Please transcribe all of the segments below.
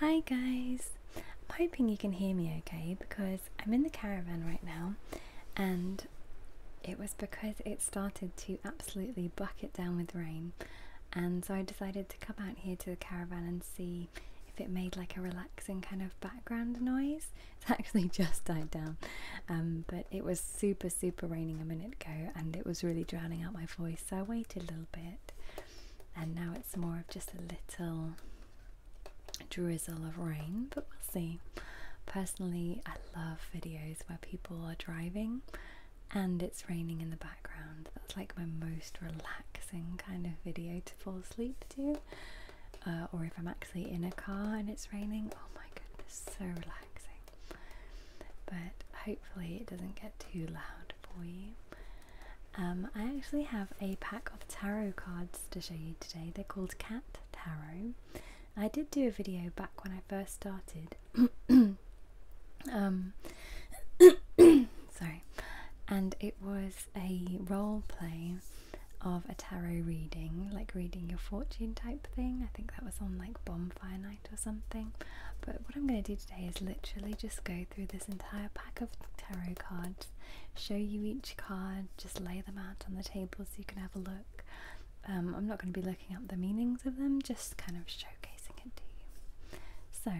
Hi guys! I'm hoping you can hear me okay because I'm in the caravan right now and it was because it started to absolutely bucket down with rain and so I decided to come out here to the caravan and see if it made like a relaxing kind of background noise. It's actually just died down um, but it was super super raining a minute ago and it was really drowning out my voice so I waited a little bit and now it's more of just a little drizzle of rain, but we'll see. Personally, I love videos where people are driving and it's raining in the background. That's like my most relaxing kind of video to fall asleep to. Uh, or if I'm actually in a car and it's raining, oh my goodness, so relaxing. But hopefully, it doesn't get too loud for you. Um, I actually have a pack of tarot cards to show you today. They're called Cat Tarot. I did do a video back when I first started. um, sorry. And it was a role play of a tarot reading, like reading your fortune type thing. I think that was on like bonfire night or something. But what I'm going to do today is literally just go through this entire pack of tarot cards, show you each card, just lay them out on the table so you can have a look. Um, I'm not going to be looking up the meanings of them, just kind of showcasing it to you. So,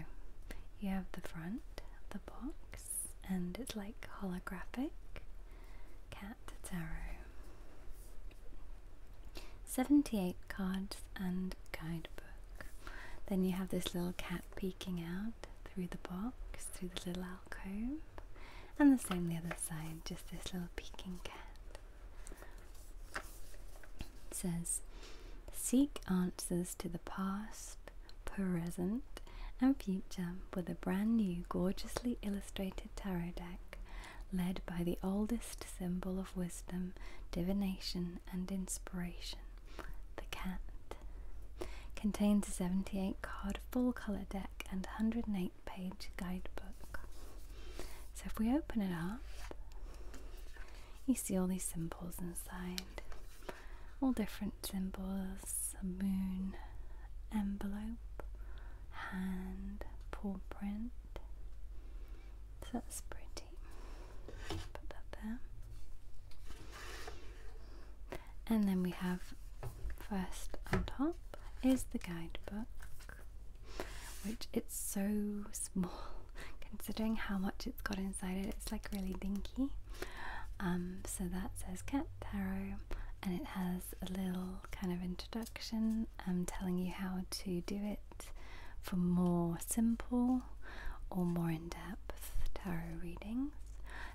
you have the front of the box, and it's like holographic cat tarot. 78 cards, and guidebook. Then you have this little cat peeking out through the box, through the little alcove, and the same the other side, just this little peeking cat. It says, Seek answers to the past, present, and future with a brand new, gorgeously illustrated tarot deck led by the oldest symbol of wisdom, divination, and inspiration. The Cat contains a 78 card full colour deck and 108 page guidebook. So if we open it up, you see all these symbols inside. All different symbols, a moon, envelope, hand, paw print. So that's pretty. And then we have first on top is the guidebook, which it's so small considering how much it's got inside it. It's like really dinky. Um, so that says Cat Tarot, and it has a little kind of introduction um, telling you how to do it for more simple or more in depth tarot readings.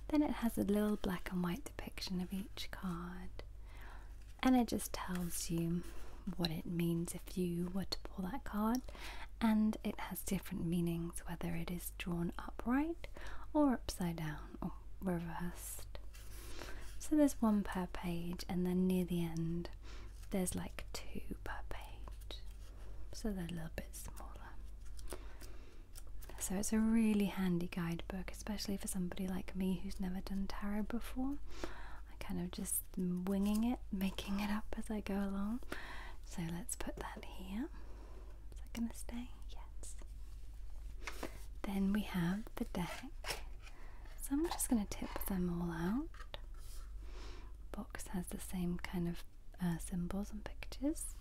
Then it has a little black and white depiction of each card, and it just tells you what it means if you were to pull that card. And it has different meanings whether it is drawn upright or upside down or reversed. So there's one per page, and then near the end, there's like two per page so they're a little bit smaller. So it's a really handy guidebook, especially for somebody like me who's never done tarot before. I kind of just mm, winging it, making it up as I go along. So let's put that here. Is that going to stay? Yes. Then we have the deck. So I'm just going to tip them all out. Box has the same kind of uh, symbols and pictures.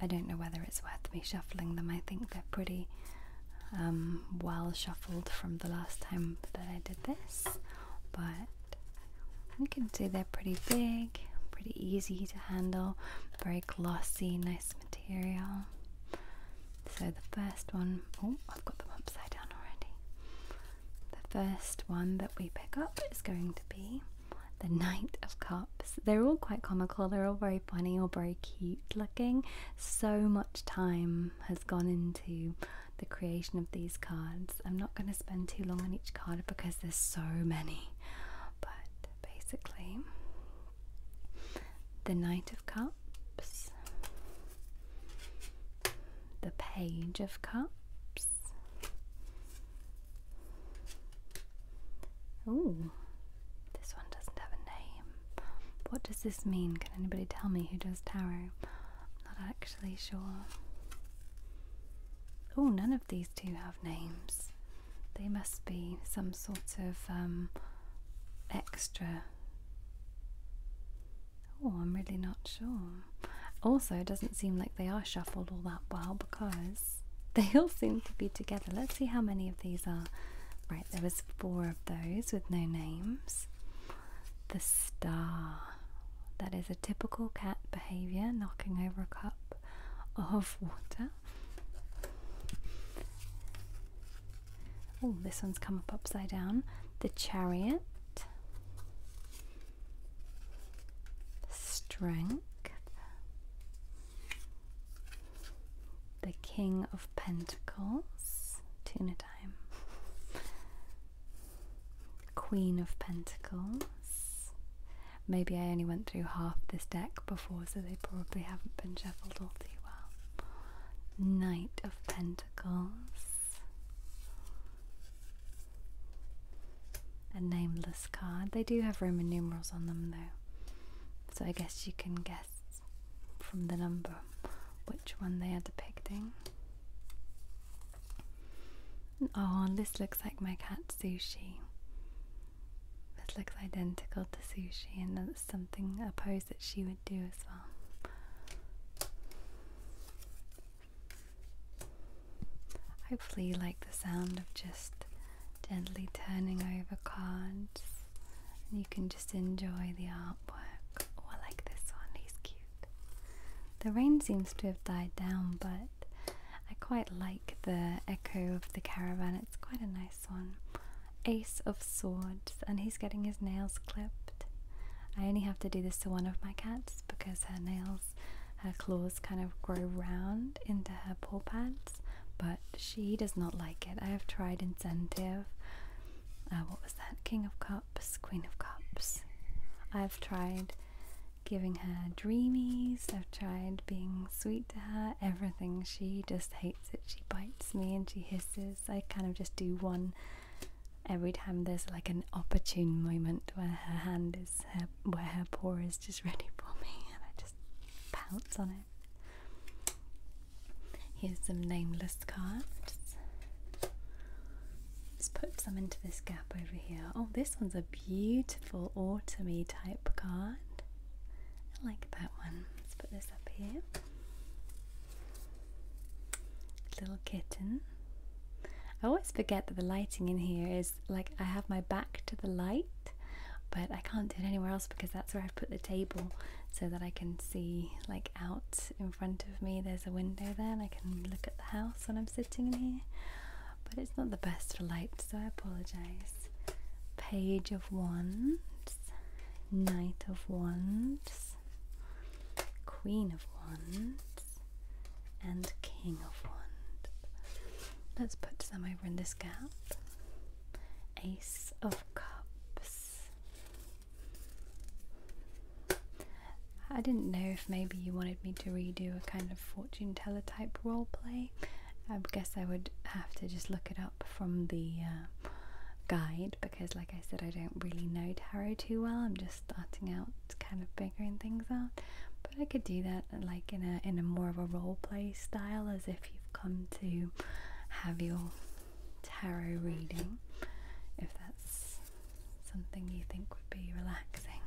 I don't know whether it's worth me shuffling them. I think they're pretty um, well shuffled from the last time that I did this, but you can see they're pretty big, pretty easy to handle, very glossy, nice material. So the first one, oh, I've got them upside down already. The first one that we pick up is going to be the Knight of Cups. They're all quite comical, they're all very funny or very cute looking. So much time has gone into the creation of these cards. I'm not going to spend too long on each card because there's so many, but basically, the Knight of Cups the Page of Cups. Ooh, this one doesn't have a name. What does this mean? Can anybody tell me who does tarot? I'm not actually sure. Oh, none of these two have names. They must be some sort of um, extra Oh, I'm really not sure. Also, it doesn't seem like they are shuffled all that well because they all seem to be together. Let's see how many of these are. Right, there was four of those with no names. The star. That is a typical cat behavior, knocking over a cup of water. Oh, this one's come up upside down. The chariot. Strength, the King of Pentacles, tuna time, Queen of Pentacles. Maybe I only went through half this deck before, so they probably haven't been shuffled all too well. Knight of Pentacles, a nameless card. They do have Roman numerals on them though, so I guess you can guess from the number which one they are depicting. Oh, this looks like my cat Sushi. This looks identical to Sushi, and that's something, a pose that she would do as well. Hopefully, you like the sound of just gently turning over cards, and you can just enjoy the artwork. Or oh, like this one, he's cute. The rain seems to have died down, but I quite like the echo of the caravan. It's quite a nice one. Ace of Swords, and he's getting his nails clipped. I only have to do this to one of my cats because her nails, her claws kind of grow round into her paw pads, but she does not like it. I have tried incentive. Uh, what was that? King of Cups, Queen of Cups. I've tried giving her dreamies, I've tried being sweet to her, everything. She just hates it. She bites me and she hisses. I kind of just do one every time there's like an opportune moment where her hand is her, where her paw is just ready for me and I just pounce on it. Here's some nameless cards. Let's put some into this gap over here. Oh, this one's a beautiful autumny type card. I like that one. Let's put this up here. Little kitten. I always forget that the lighting in here is like I have my back to the light, but I can't do it anywhere else because that's where I've put the table so that I can see like out in front of me. There's a window there and I can look at the house when I'm sitting in here. But it's not the best light, so I apologize. Page of Wands, Knight of Wands, Queen of Wands, and King of Wands. Let's put some over in this gap. Ace of Cups. I didn't know if maybe you wanted me to redo a kind of fortune teller type role play. I guess I would have to just look it up from the uh, guide, because, like I said, I don't really know tarot too well. I'm just starting out, kind of figuring things out. But I could do that, like in a in a more of a role play style, as if you've come to have your tarot reading. If that's something you think would be relaxing,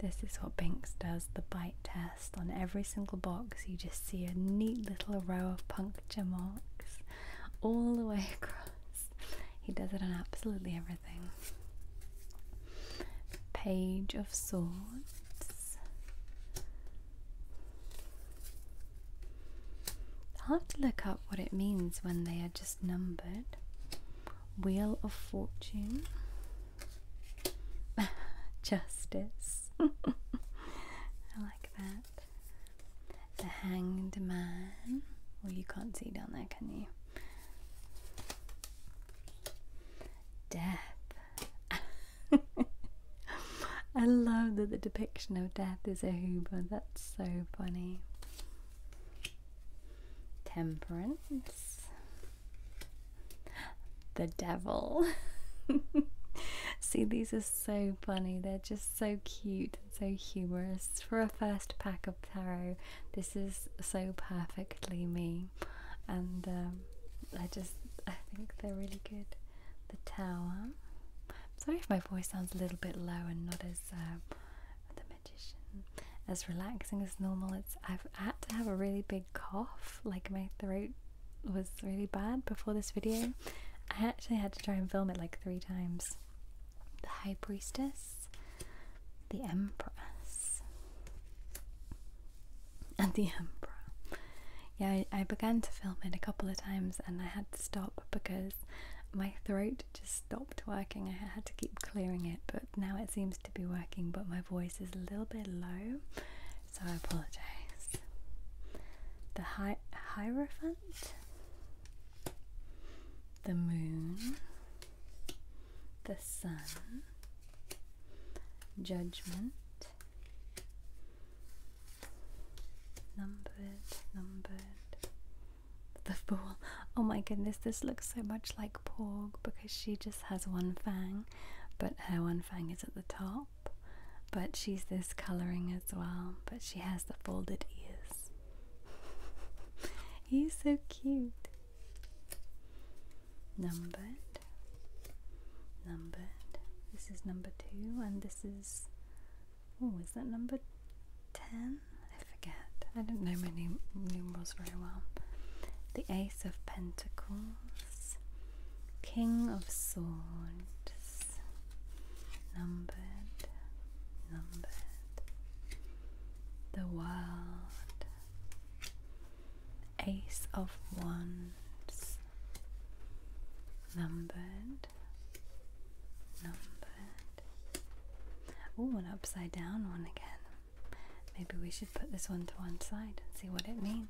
this is what Binks does: the bite test. On every single box, you just see a neat little row of puncture marks all the way across he does it on absolutely everything. Page of Swords. Hard to look up what it means when they are just numbered. Wheel of Fortune. Justice. I like that the hanged man. Well, you can't see down there, can you? Death. I love that the depiction of death is a Huber. That's so funny. Temperance. The devil. See, these are so funny. They're just so cute so humorous for a first pack of tarot. This is so perfectly me, and um, I just I think they're really good. The Tower. Sorry if my voice sounds a little bit low and not as uh, the magician as relaxing as normal. It's i had to have a really big cough, like my throat was really bad before this video. I actually had to try and film it like three times the High Priestess, the Empress, and the Emperor. Yeah, I, began to film it a couple of times and I had to stop because my throat just stopped working. I had to keep clearing it, but now it seems to be working, but my voice is a little bit low, so I apologize. The high Hierophant? The moon, the sun, judgment, numbered, numbered, the fool. Oh my goodness, this looks so much like Porg because she just has one fang, but her one fang is at the top. But she's this colouring as well, but she has the folded ears. He's so cute. Numbered, numbered. This is number two, and this is. Oh, is that number 10? I forget. I don't know my num numerals very well. The Ace of Pentacles, King of Swords, numbered, numbered, the world, Ace of Wands, numbered, numbered. Oh, an upside down one again. Maybe we should put this one to one side and see what it means.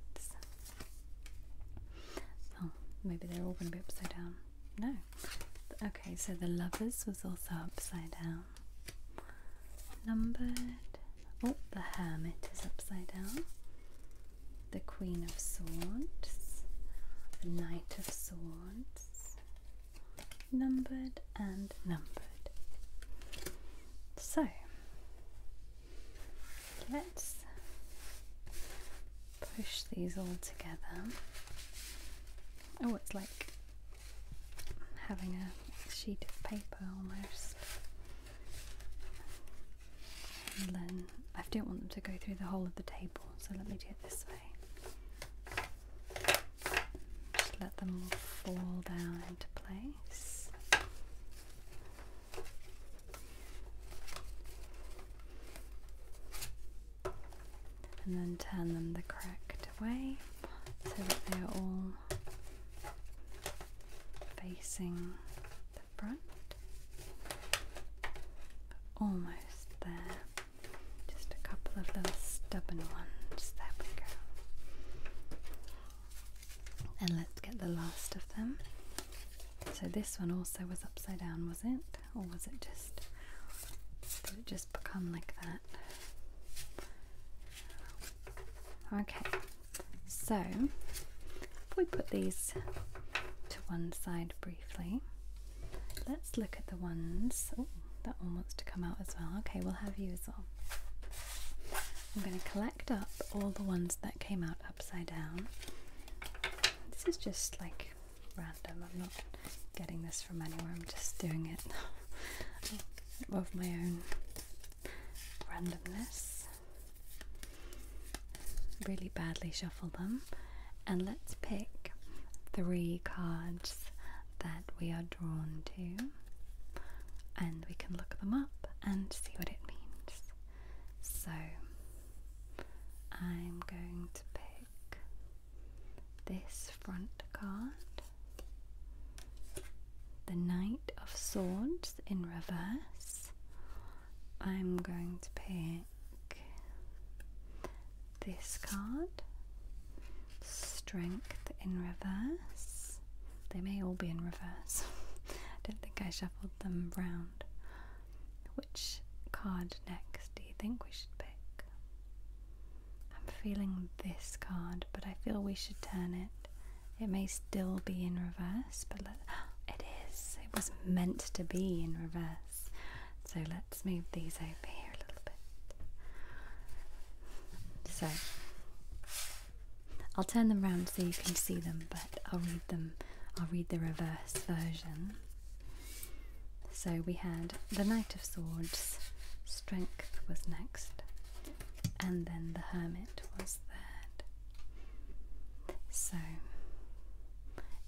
Oh, maybe they're all going to be upside down. No. Okay, so the lovers was also upside down. Numbered. Oh, the hermit is upside down. The queen of swords. The knight of swords. Numbered and numbered. So, let's push these all together Oh, it's like having a sheet of paper almost. And then I don't want them to go through the whole of the table, so let me do it this way. Just let them fall down into place and then turn them the correct way so that they are all facing the front. Almost there. Just a couple of little stubborn ones. There we go. And let's get the last of them. So this one also was upside down, was it? or was it just did it just become like that? Okay, so if we put these to one side briefly, let's look at the ones. that one wants to come out as well. Okay, we'll have you as well. I'm going to collect up all the ones that came out upside down. This is just like random. I'm not getting this from anywhere. I'm just doing it of my own randomness. Really badly shuffle them, and let's pick three cards that we are drawn to, and we can look them up and see what it means. So I'm going to pick this front card, the Knight of Swords in reverse. I'm going to pick this card, Strength in reverse. They may all be in reverse. I don't think I shuffled them round. Which card next do you think we should pick? I'm feeling this card, but I feel we should turn it. It may still be in reverse, but it is. It was meant to be in reverse. So let's move these over here a little bit. So I'll turn them round so you can see them, but I'll read them. I'll read the reverse version. So we had the Knight of Swords, Strength was next, and then the Hermit was third. So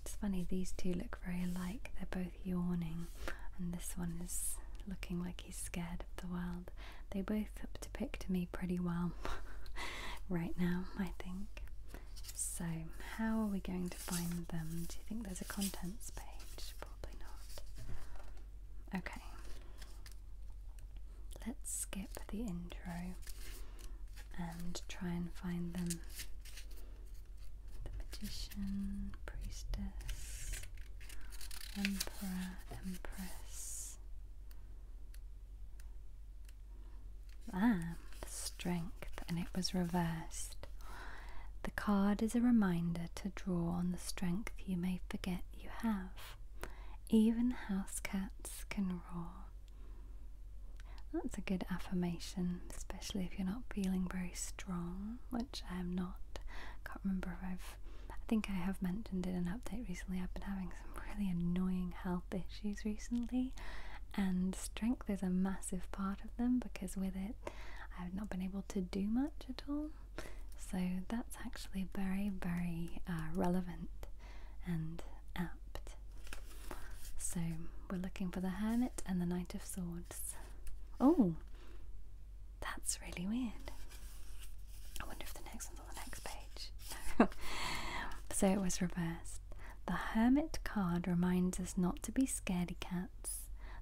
it's funny, these two look very alike, they're both yawning, and this one is looking like he's scared of the world. They both depict me pretty well right now, I think. So, how are we going to? find them. Do you think there's a contents page? Probably not. Okay. Let's skip the intro and try and find them. The magician, priestess, emperor, empress. Ah, strength, and it was reversed. The card is a reminder to draw on the strength you may forget you have. Even house cats can roar. That's a good affirmation, especially if you're not feeling very strong, which I am not. I can't remember if I've. I think I have mentioned in an update recently. I've been having some really annoying health issues recently, and strength is a massive part of them because with it, I've not been able to do much at all. So that's actually very, very uh, relevant and apt. So we're looking for the Hermit and the Knight of Swords. Oh, that's really weird. I wonder if the next one's on the next page. so it was reversed. The Hermit card reminds us not to be scaredy cats.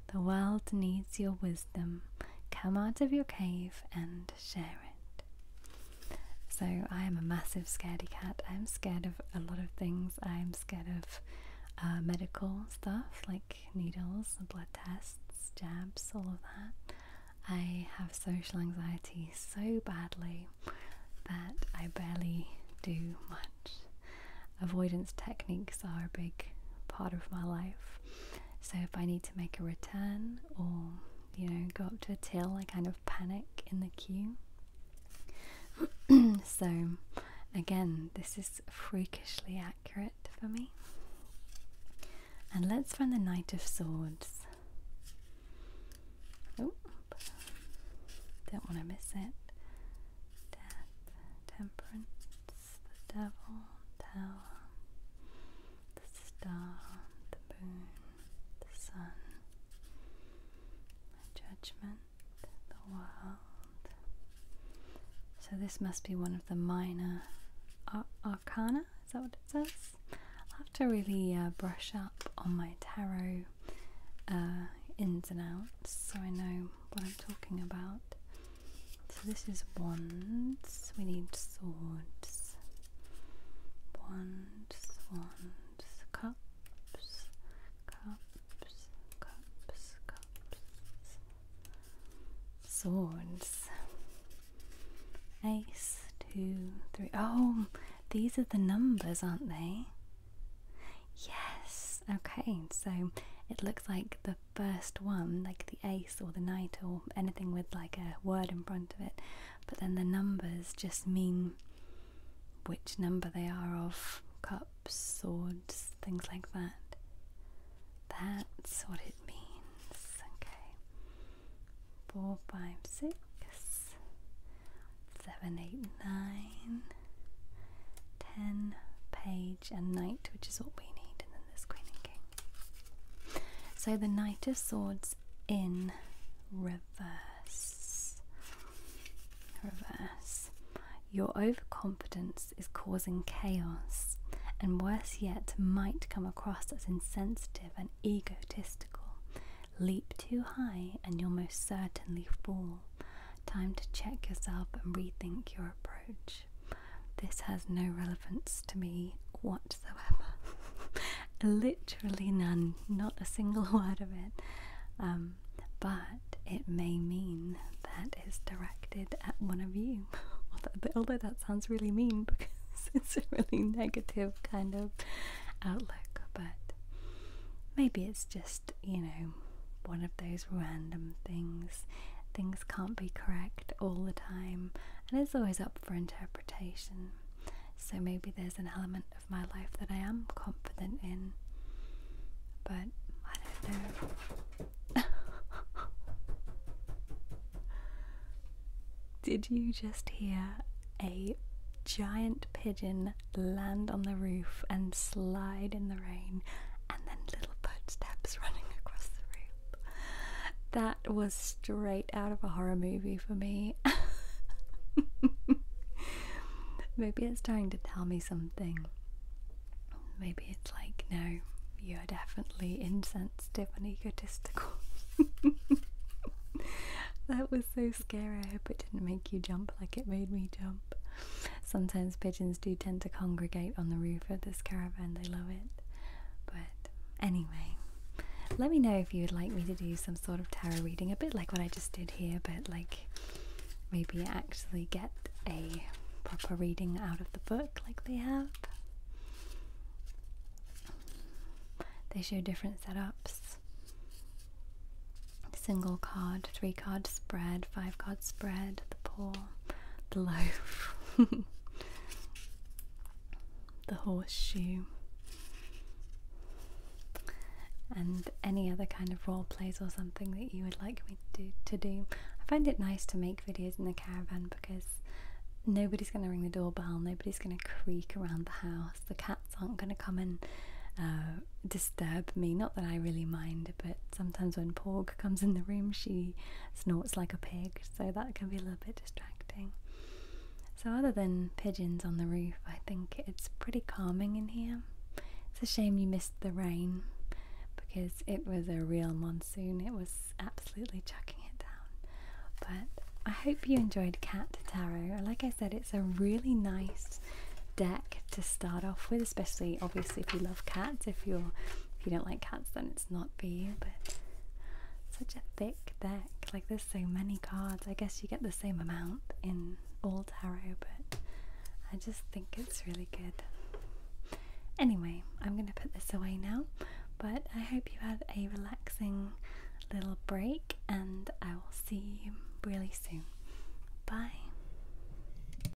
The world needs your wisdom. Come out of your cave and share it. So, I am a massive scaredy cat. I'm scared of a lot of things. I'm scared of uh, medical stuff like needles, blood tests, jabs, all of that. I have social anxiety so badly that I barely do much avoidance techniques are a big part of my life. So if I need to make a return or you know go up to a tail, I kind of panic in the queue. so again, this is freakishly accurate for me. And let's run the Knight of Swords. don't want to miss it. Temperance the devil, the star, the moon, the sun, my judgment, the world. So this must be one of the minor arcana, is that what it says? I'll have to really uh, brush up on my tarot uh, ins and outs so I know what I'm talking about. So this is wands. We need swords. Wands, wands, cups, cups, cups, cups. Swords. Ace, two, three. Oh, these are the numbers, aren't they? Yes. Okay, so it looks like the first one, like the ace or the knight or anything with like a word in front of it, but then the numbers just mean which number they are of cups, swords, things like that. That's what it means. Okay. Four, five, six, seven, eight, nine, ten pages and knight, which is what we need, and then there's queen and king. So the knight of swords in reverse. Reverse. Your overconfidence is causing chaos, and worse yet, might come across as insensitive and egotistical. Leap too high, and you'll most certainly fall. Time to check yourself and rethink your approach. This has no relevance to me whatsoever. Literally none, not a single word of it. Um, but it may mean that it's directed at one of you. Although that sounds really mean because it's a really negative kind of outlook, but maybe it's just you know, one of those random things. Things can't be correct all the time, and it's always up for interpretation. So maybe there's an element of my life that I am confident in, but I don't know. Did you just hear a giant pigeon land on the roof and slide in the rain? and then little footsteps running across the room. That was straight out of a horror movie for me. Maybe it's trying to tell me something. Maybe it's like, no, you're definitely insensitive and egotistical. that was so scary. I hope it didn't make you jump like it made me jump. Sometimes pigeons do tend to congregate on the roof of this caravan, they love it. But anyway, let me know if you would like me to do some sort of tarot reading, a bit like what I just did here, but like maybe actually get a proper reading out of the book like they have. They show different setups. Single card, three card spread, five card spread, the pool the loaf, the horseshoe, and any other kind of role plays or something that you would like me to do, I find it nice to make videos in the caravan because nobody's going to ring the doorbell, nobody's going to creak around the house, the cats aren't going to come and uh, disturb me. Not that I really mind, but sometimes when Porg comes in the room, she snorts like a pig, so that can be a little bit distracting. So, other than pigeons on the roof, I think it's pretty calming in here. It's a shame you missed the rain because it was a real monsoon, it was absolutely chucking it down. But I hope you enjoyed Cat Tarot. Like I said, it's a really nice deck to start off with especially obviously if you love cats. If you're if you don't like cats, then it's not for you. But such a thick deck. Like there's so many cards. I guess you get the same amount in all tarot, but I just think it's really good. Anyway, I'm going to put this away now, but I hope you had a relaxing little break and I will see you really soon. Bye.